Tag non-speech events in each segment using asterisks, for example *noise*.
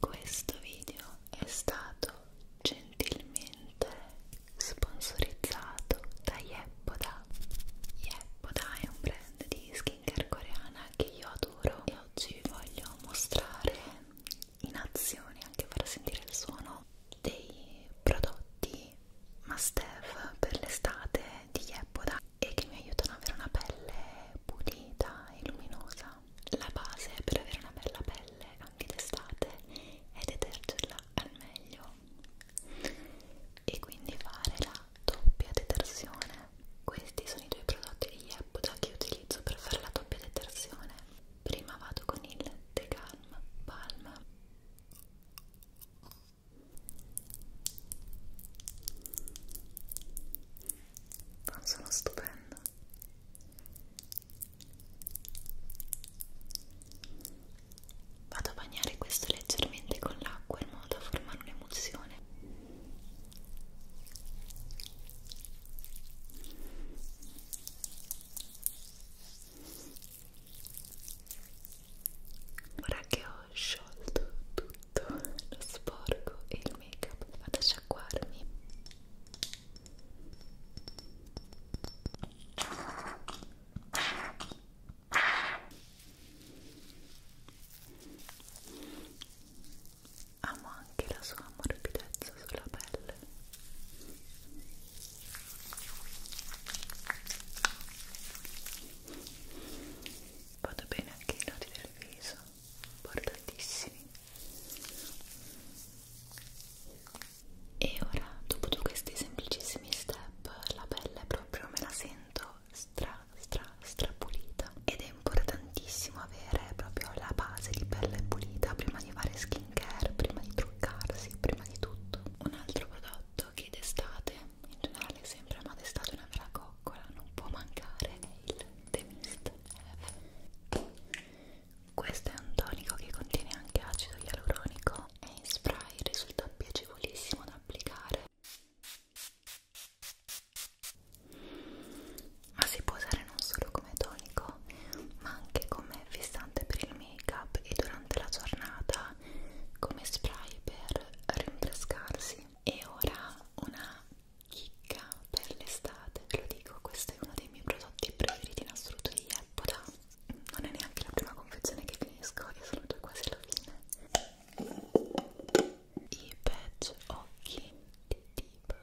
Questo video è stato gentilmente sponsorizzato da Yeppoda. Yeppoda è un brand di skincare coreana che io adoro e oggi vi voglio mostrare in azione, anche far sentire il suono, dei prodotti must have per l'estate di Yeppoda e che mi aiutano ad avere una pelle pulita e luminosa la base per avere una bella pelle anche d'estate è detergerla al meglio e quindi fare la doppia detersione questi sono i due prodotti di Yepuda che utilizzo per fare la doppia detersione prima vado con il The Calm Balm sono stupendo ascoltando vado a bagnare questo leggermente con l'acqua in modo da formare un'emulsione ora che ho sciolto tutto tutto lo sporco e il make up vado a sciacquarmi amo anche la sua morbidezza sulla pelle vado bene anche i nodi del viso importantissimi e ora dopo questi semplicissimi step la pelle proprio me la sento stra stra stra pulita ed è importantissimo avere proprio la base di pelle pulita prima di fare skincare, prima di truccarsi, prima di tutto un altro prodotto che d'estate in generale sempre ma d'estate una vera coccola non può mancare è il The Mist questo è un tonico che contiene anche acido ialuronico e in spray risulta piacevolissimo da applicare. Ma si può usare non solo come tonico, ma anche come fissante per il make-up e durante la giornata come spray per rinfrescarsi. E ora una chicca per l'estate, ve lo dico, questo è uno dei miei prodotti preferiti in assoluto di Eppoda non è neanche la prima confezione che finisco e sono già quasi alla fine i patch occhi di tipo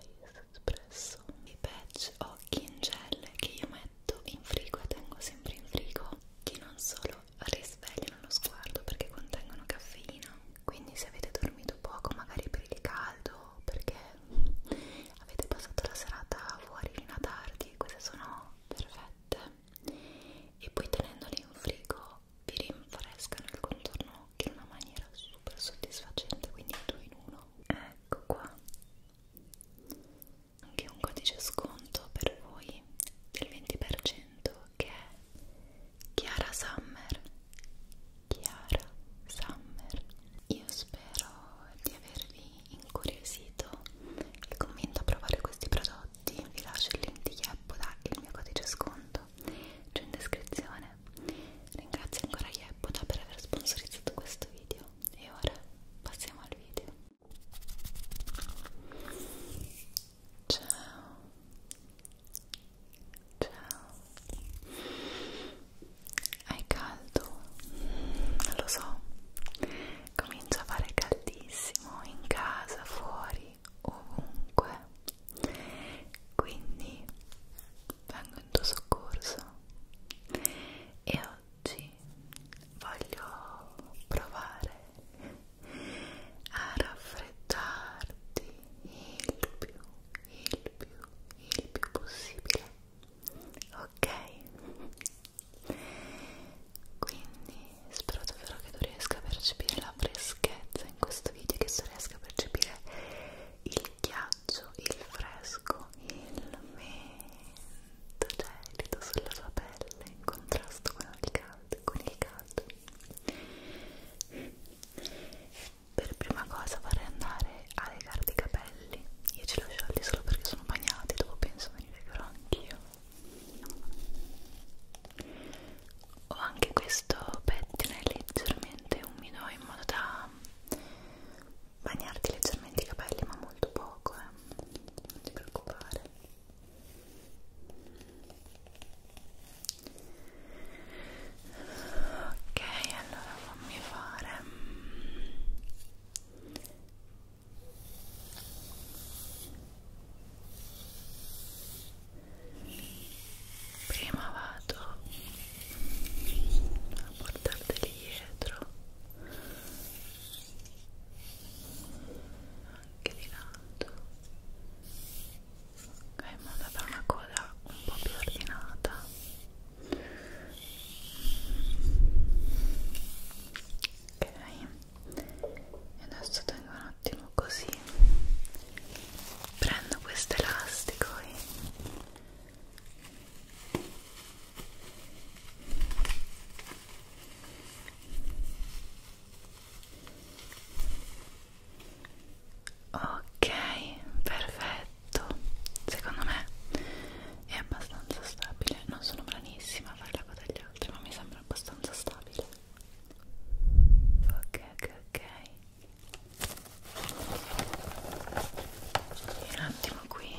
ice espresso i patch occhi in gel che io metto in frigo e tengo sempre in frigo che non solo risvegliano lo sguardo perché contengono caffeina quindi se avete dormito poco magari per il caldo perché avete passato la serata fuori fino a tardi queste sono perfette e poi tenendoli in frigo vi rinfrescano il contorno in una maniera super soddisfacente quindi due in uno ecco qua anche un codice sconto per voi del 20% che è Chiara Summer Chiara Summer io spero di avervi incuriosito vi convinto a provare questi prodotti vi lascio il link di Yeppoda e il mio codice sconto giù in descrizione ringrazio ancora Yeppoda per aver sponsorizzato questo video e ora passiamo al video Ciao. Ciao. Hai caldo? Lo so. Comincia a fare caldissimo in casa, fuori, ovunque. Quindi vengo in tuo soccorso. E oggi voglio provare a raffreddarti il più, il più, il più possibile ok? quindi spero davvero che tu riesca a percepire la freschezza in questo video che tu riesca a percepire il ghiaccio, il fresco, il mento gelido cioè sulla tua pelle in contrasto con il caldo, con il caldo per prima cosa vorrei andare a legarti i capelli io ce li ho sciolti solo perché sono bagnati dopo penso me li legherò anch'io ho anche questo pettine leggermente umido in modo da bagnarti leggermente i capelli ma molto poco eh. non ti preoccupare ok allora fammi fare prima vado a portarteli dietro anche di lato ok ma andata una cosa un po' più ordinata ok e adesso tengo un attimo così prendo questo elastico e ok perfetto secondo me è abbastanza stabile non sono branissima a fare la coda agli altri ma mi sembra abbastanza stabile ok ok ok un attimo qui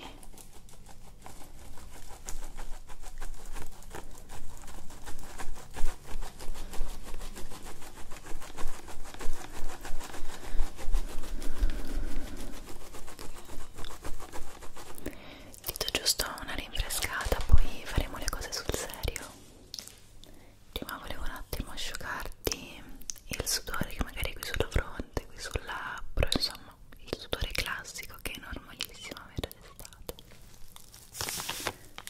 Dito giusto una rinfrescata, poi faremo le cose sul serio. Prima volevo un attimo asciugarti il sudore che magari qui sulla fronte, qui sul labbro, insomma, il sudore classico che è normalissimo avere d'estate.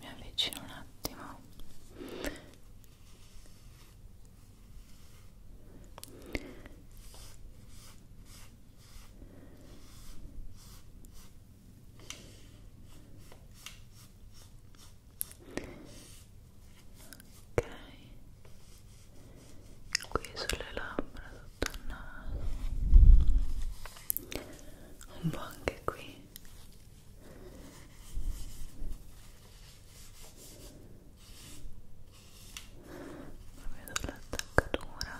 mi avvicino un attimo ok qui sulle labbra sotto il naso un po' anche qui proprio sull'attaccatura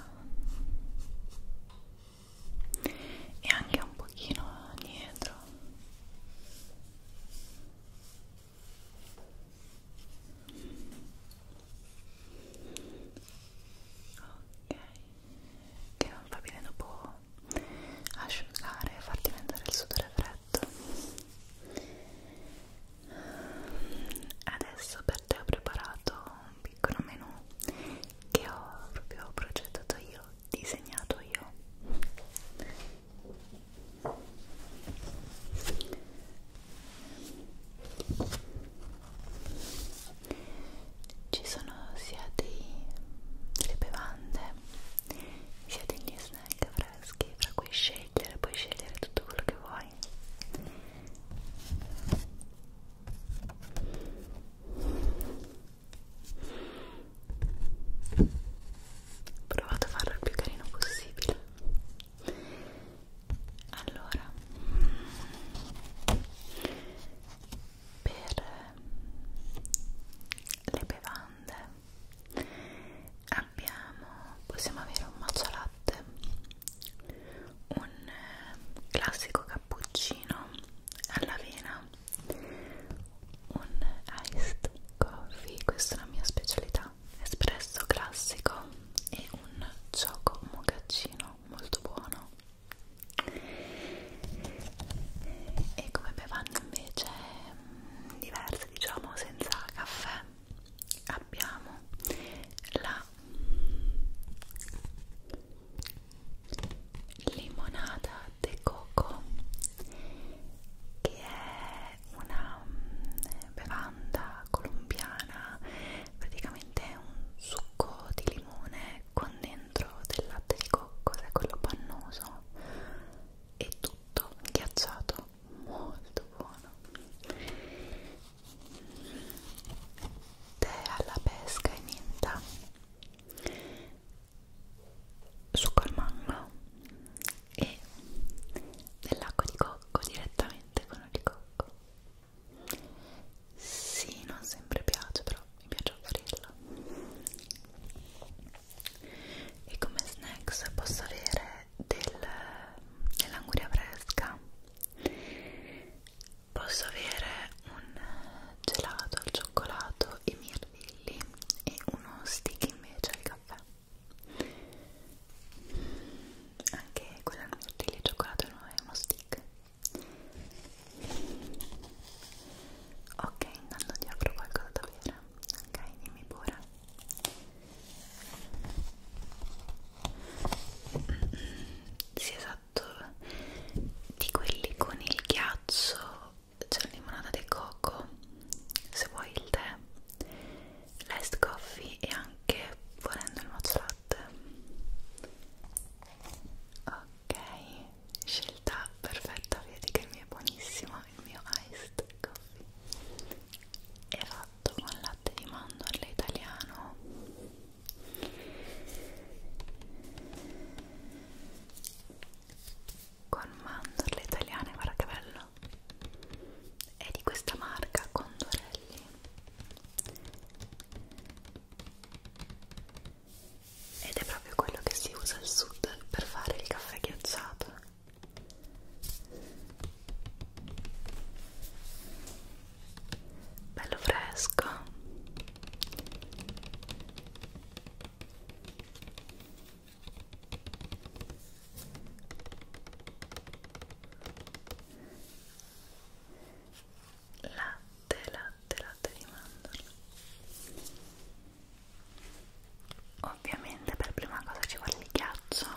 e anche un pochino dietro ok che non va bene dopo asciugare e far diventare il sudore freddo adesso per te ho preparato un piccolo menù che ho proprio progettato io disegnato io ci sono sia dei, delle bevande sia degli snack freschi fra cui scegliere, puoi scegliere tutto quello che vuoi ho provato a farlo il più carino possibile allora per ehm, le bevande abbiamo possiamo avere un matcha latte un eh, classico cappuccino all'avena un iced coffee questa è la mia specialità espresso classico e un gioco mocaccino molto buono e come bevande invece mm, diverse diciamo senza caffè abbiamo la limonada de coco che è una mm, bevanda colombiana praticamente è un succo succo di limone con dentro del latte di cocco, che è quello pannoso e tutto ghiacciato, molto buono tè alla pesca e menta succo al mango e dell'acqua di cocco direttamente con il cocco sì, non sempre piace, però mi piace offrirla. E come snacks posso avere del, dell'anguria fresca, posso avere un gelato al cioccolato e mirtilli e uno stick invece al caffè. Anche quella al mirtilli e cioccolato non è uno stick Ok, intanto ti apro qualcosa da bere. Ok, dimmi pure. Sì, esatto. Di quelli con il ghiaccio c'è la limonata di cocco. Se vuoi il tè, l'iced coffee e anche volendo il mozzarella latte ok scelta perfetta vedi che il mio è buonissimo il mio iced coffee è fatto con latte di mandorle italiano con mandorle italiane guarda che bello è di questa marca Condorelli ed è proprio quello che si usa al sud per fare il caffè ghiacciato bello fresco latte, latte, latte di mandorla ovviamente per prima cosa ci vuole il ghiaccio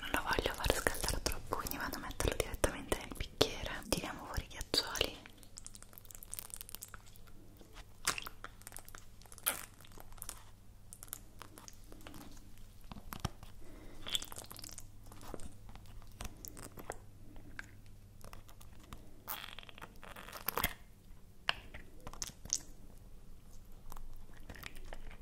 non lo voglio far scaldare troppo quindi vado a metterlo direttamente nel bicchiere tiriamo fuori i ghiaccioli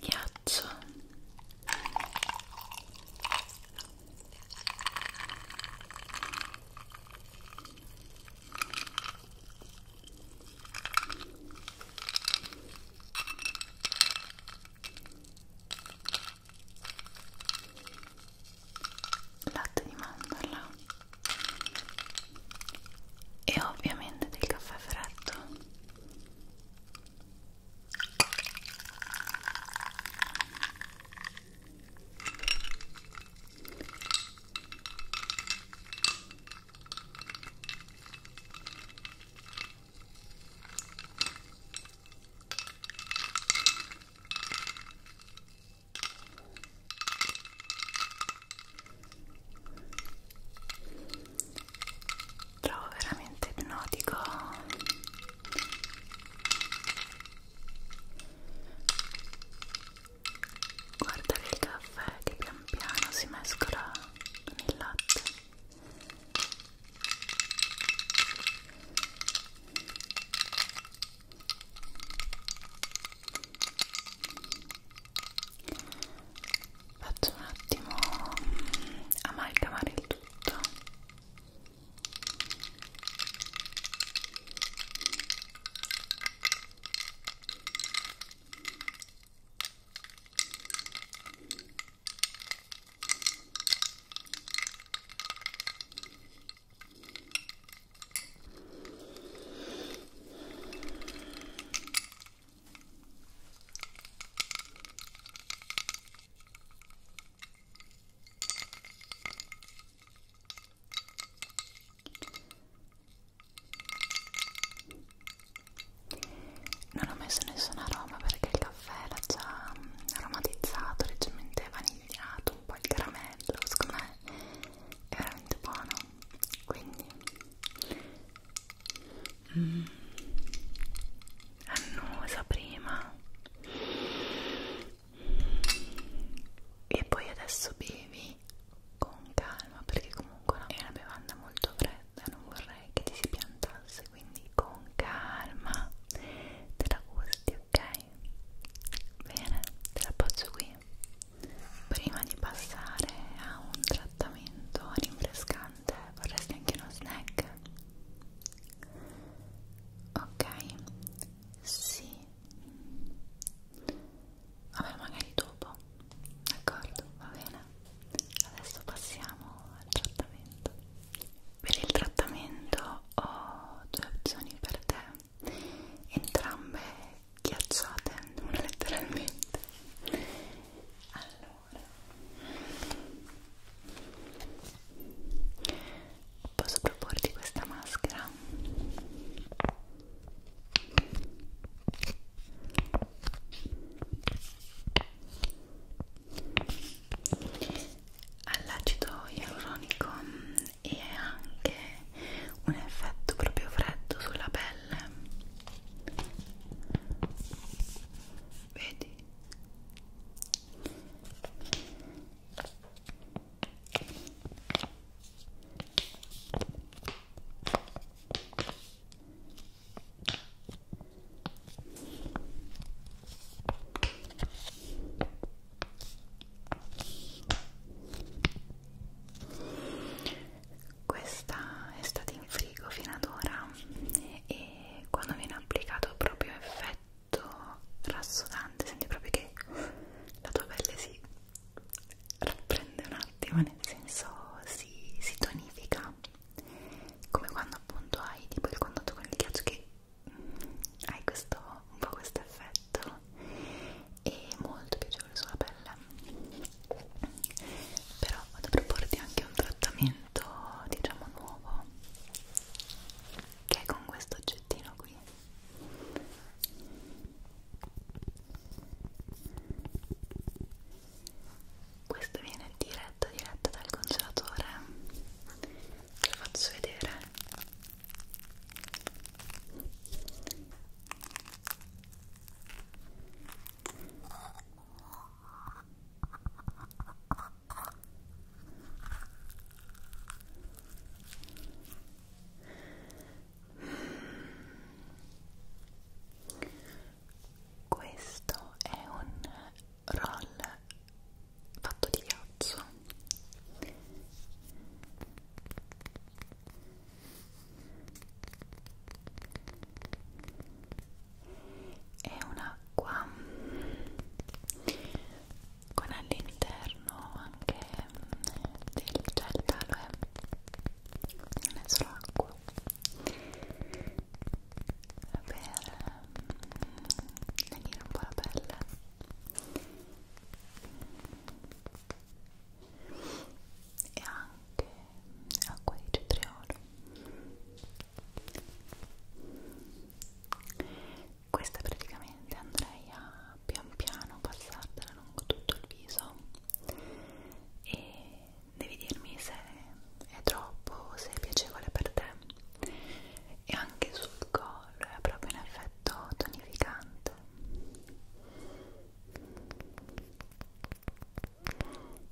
ghiaccio latte di mandorla e ovviamente del caffè freddo trovo veramente ipnotico guardare il caffè che pian piano si mescola con il latte faccio un attimo amalgamare il tutto non ho messo nessuna aroma perché il caffè l'ha già mm, aromatizzato, leggermente vanigliato, un po' il caramello, secondo me è veramente buono quindi mm, annusa prima e poi adesso bevi con calma perché comunque è una bevanda molto fredda non vorrei che ti si piantasse quindi con calma te la gusti ok? bene te la posso qui prima di passare a un trattamento rinfrescante vorresti anche uno snack? ok sì vabbè magari dopo d'accordo va bene adesso passiamo al trattamento per il trattamento ho due opzioni per te entrambe ghiacciate una *laughs* letteralmente allora posso proporti questa maschera all'acido ialuronico e anche un effetto proprio freddo sulla pelle vedi questa è stata in frigo fino ad ora e quando viene applicato proprio effetto rassodante senti proprio che la tua pelle si rapprende un attimo nel senso si, si tonifica come quando appunto hai tipo il contatto con il ghiaccio che hai questo, un po' questo effetto e molto piacevole sulla pelle però vado a proporti anche un trattamento diciamo nuovo che è con questo oggettino qui questo viene diretto diretto dal congelatore lo faccio vedere questo è un roll fatto di ghiaccio è un'acqua con all'interno anche del gel d'aloe non è solo acqua per lenire un po' la pelle e anche acqua di cetriolo questa praticamente andrei a pian piano passartela lungo tutto il viso e devi dirmi se è troppo, se è piacevole per te e anche sul collo è proprio un effetto tonificante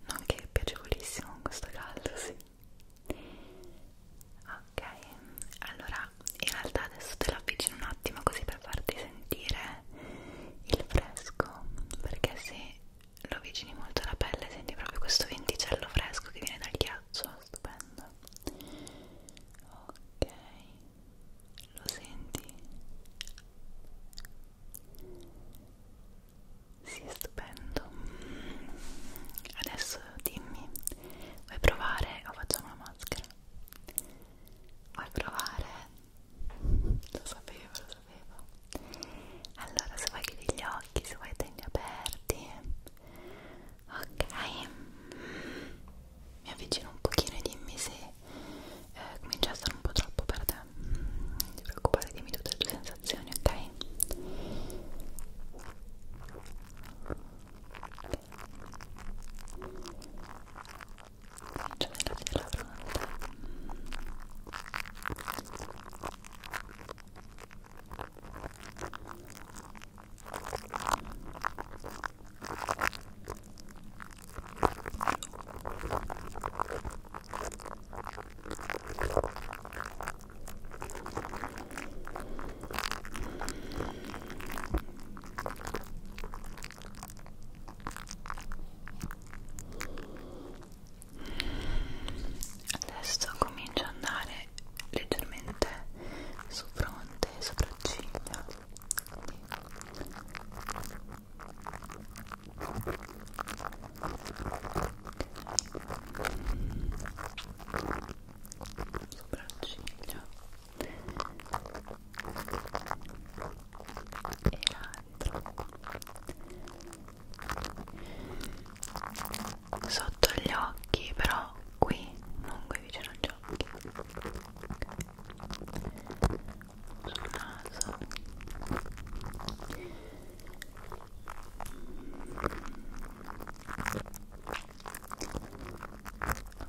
non che è piacevolissimo con questo caldo, sì ok, allora in realtà adesso te l'avvicino un attimo così per farti sentire il fresco perché se lo avvicini molto alla pelle senti proprio questo venticello fresco che viene dal ghiaccio, stupendo ok lo senti? Sì, è stupendo. Adesso dimmi, vuoi provare o facciamo la maschera? Vuoi provare? Lo sapevo, lo sapevo. Allora, se vuoi chiudi gli occhi, se vuoi tenerli aperti. Ok mi avvicino un pochino e dimmi se eh, comincia a essere un po' troppo per te non mm, ti preoccupare, dimmi tutte le tue sensazioni, ok? Comincio nella fila pronta Adesso comincio ad andare leggermente su fronte e sopracciglia sopracciglia e l'altro sotto gli occhi però qui non qui vicino al occhi sul naso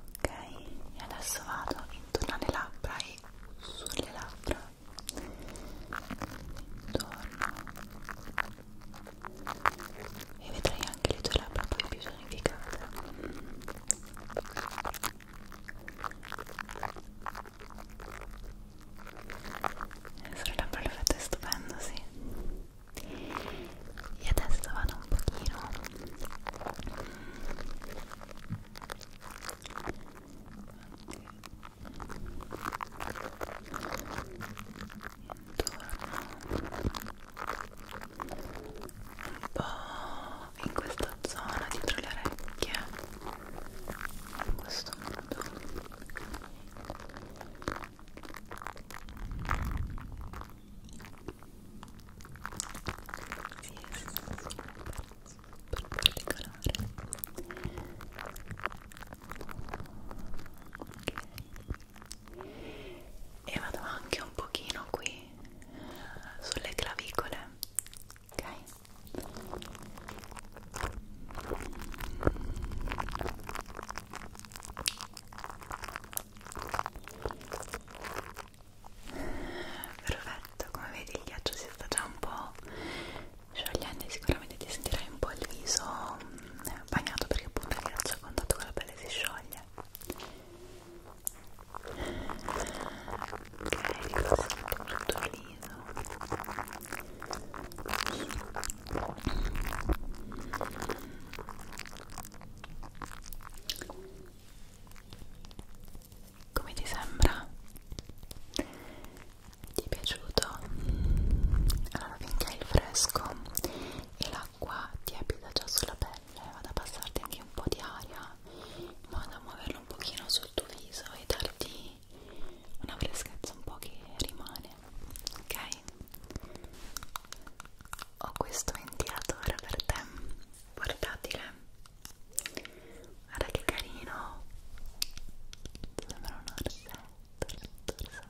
ok e adesso vado intorno alle labbra e sulle labbra intorno e vedrai anche le tue labbra poi più personificata sarebbe perfetto e stupendo, sì e adesso vado un pochino intorno un po' in questa zona dietro le orecchie in questo modo sì, sì, sì. per particolare ok e vado anche un pochino qui sulle clavicole ok perfetto come vedi il ghiaccio si sta già un po' sciogliendo e sicuramente ti sentirai un po' il viso bagnato perché appunto il ghiaccio a contatto con la pelle si scioglie tutto liso come ti sembra? ti è piaciuto? allora finché hai il fresco e l'acqua ti abita già sulla pelle eh, vado a passarti anche un po' di aria vado a muoverlo un pochino sul tuo viso e darti una freschezza un po' che rimane ok? ho questo ventilatore per te portatile guarda che carino sembra un orsetto, orsetto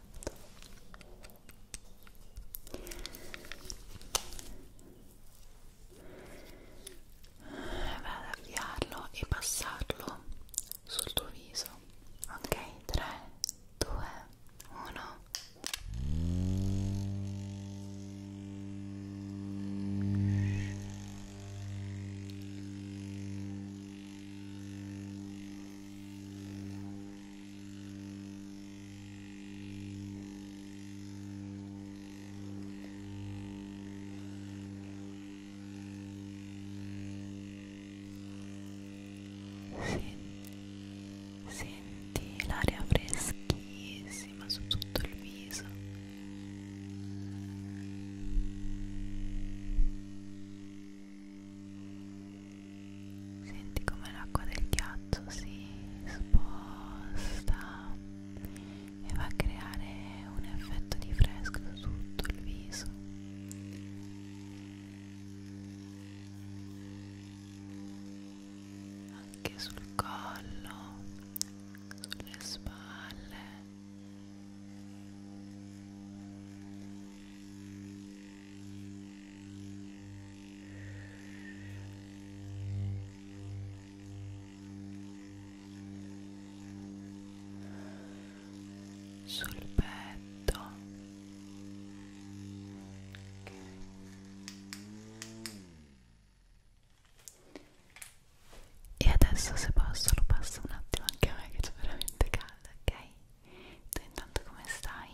vado ad avviarlo e passarlo sul tuo viso ok 3 2 1 Bene, Senti l'aria freschissima su tutto il viso. Senti come l'acqua del ghiaccio si sposta e va a creare un effetto di fresco su tutto il viso. Anche sul collo, sulle spalle sul petto okay. e adesso se posso lo passo un attimo anche a me che c'è veramente caldo ok tu intanto come stai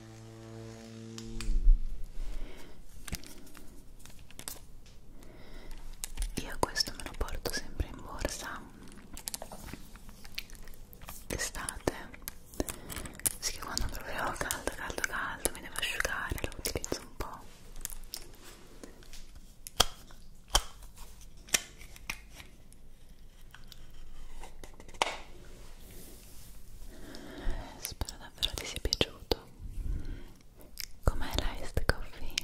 Io questo me lo porto sempre in borsa d'estate, sì che quando troverò caldo caldo caldo mi devo asciugare, lo utilizzo un po'. Spero davvero ti sia piaciuto. Com'è l'iced coffee?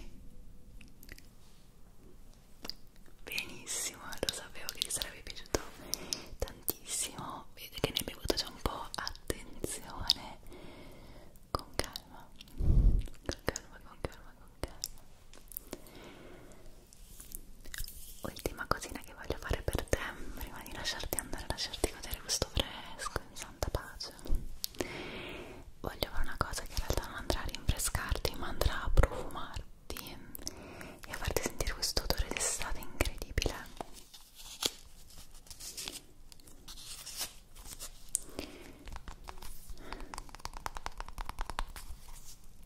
Benissimo, lo sapevo che ti sarebbe piaciuto tantissimo. Vedete che ne hai bevuto già un po'. Attenzione, con calma, con calma, con calma, con calma ultima cosina che voglio fare per te prima di lasciarti andare lasciarti godere questo fresco in santa pace voglio fare una cosa che in realtà non andrà a rinfrescarti ma andrà a profumarti e a farti sentire questo odore d'estate incredibile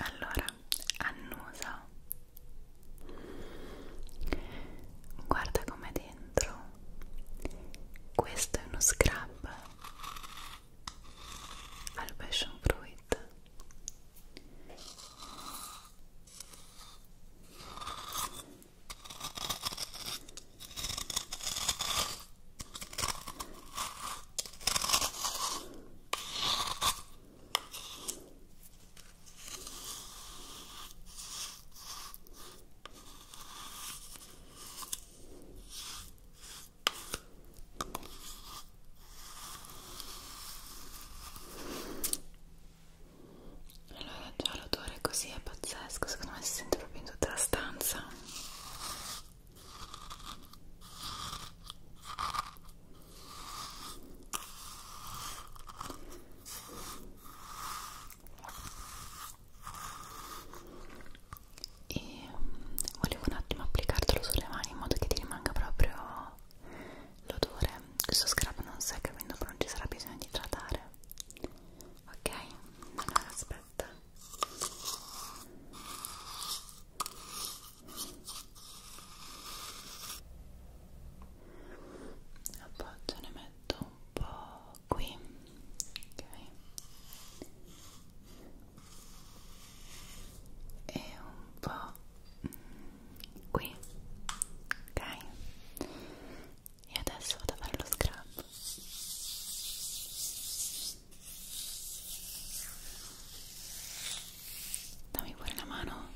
allora annusa guarda com'è dentro questo è uno scrub al passion fruit allora già l'odore così è pazzesco, secondo me si sente proprio in tutta la stanza e mm, volevo un attimo applicartelo sulle mani in modo che ti rimanga proprio l'odore questo scrub non secca quindi non ci sarà bisogno di idratare ok? allora aspetta gatta appoggio ne metto un po' qui ok e un po' mm, qui ok e adesso vado a fare lo scrub Dame por la mano.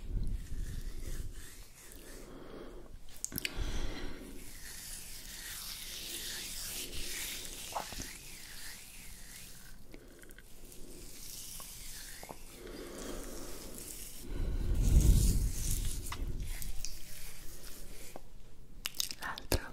otro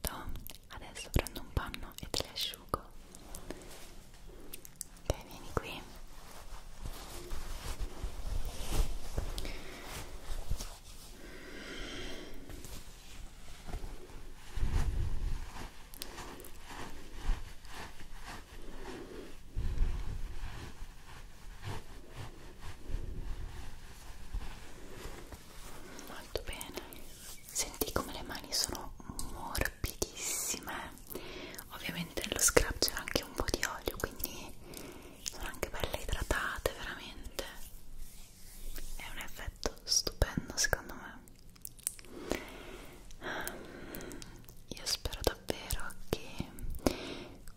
tutto adesso prendo un panno e te le asciugo ok vieni qui molto bene senti come le mani sono morbidissime ovviamente nello scrub c'era anche un po' di olio quindi sono anche belle idratate veramente è un effetto stupendo secondo me io spero davvero che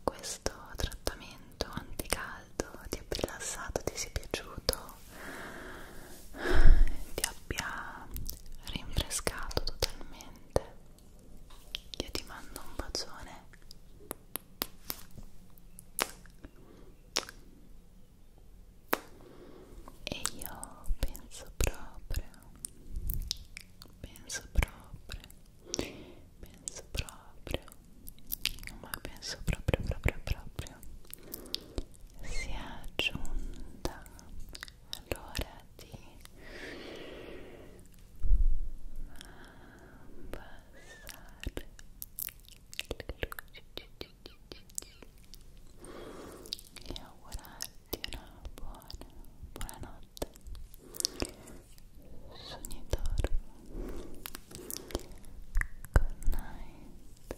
questo trattamento anticaldo ti è rilassato, ti sia piaciuto ti abbia rinfrescato totalmente io ti mando un bacione e io penso proprio penso proprio penso proprio ma penso proprio proprio proprio proprio sia giunta l'ora di abbassare le luci e augurarti una buona buonanotte sognatore good night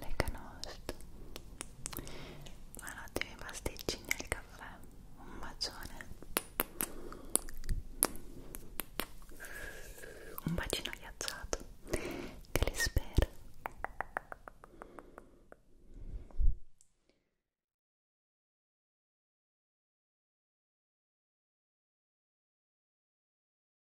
le canost buonanotte ai pasticcini e al caffè un bacione un bacino ghiacciato che li spero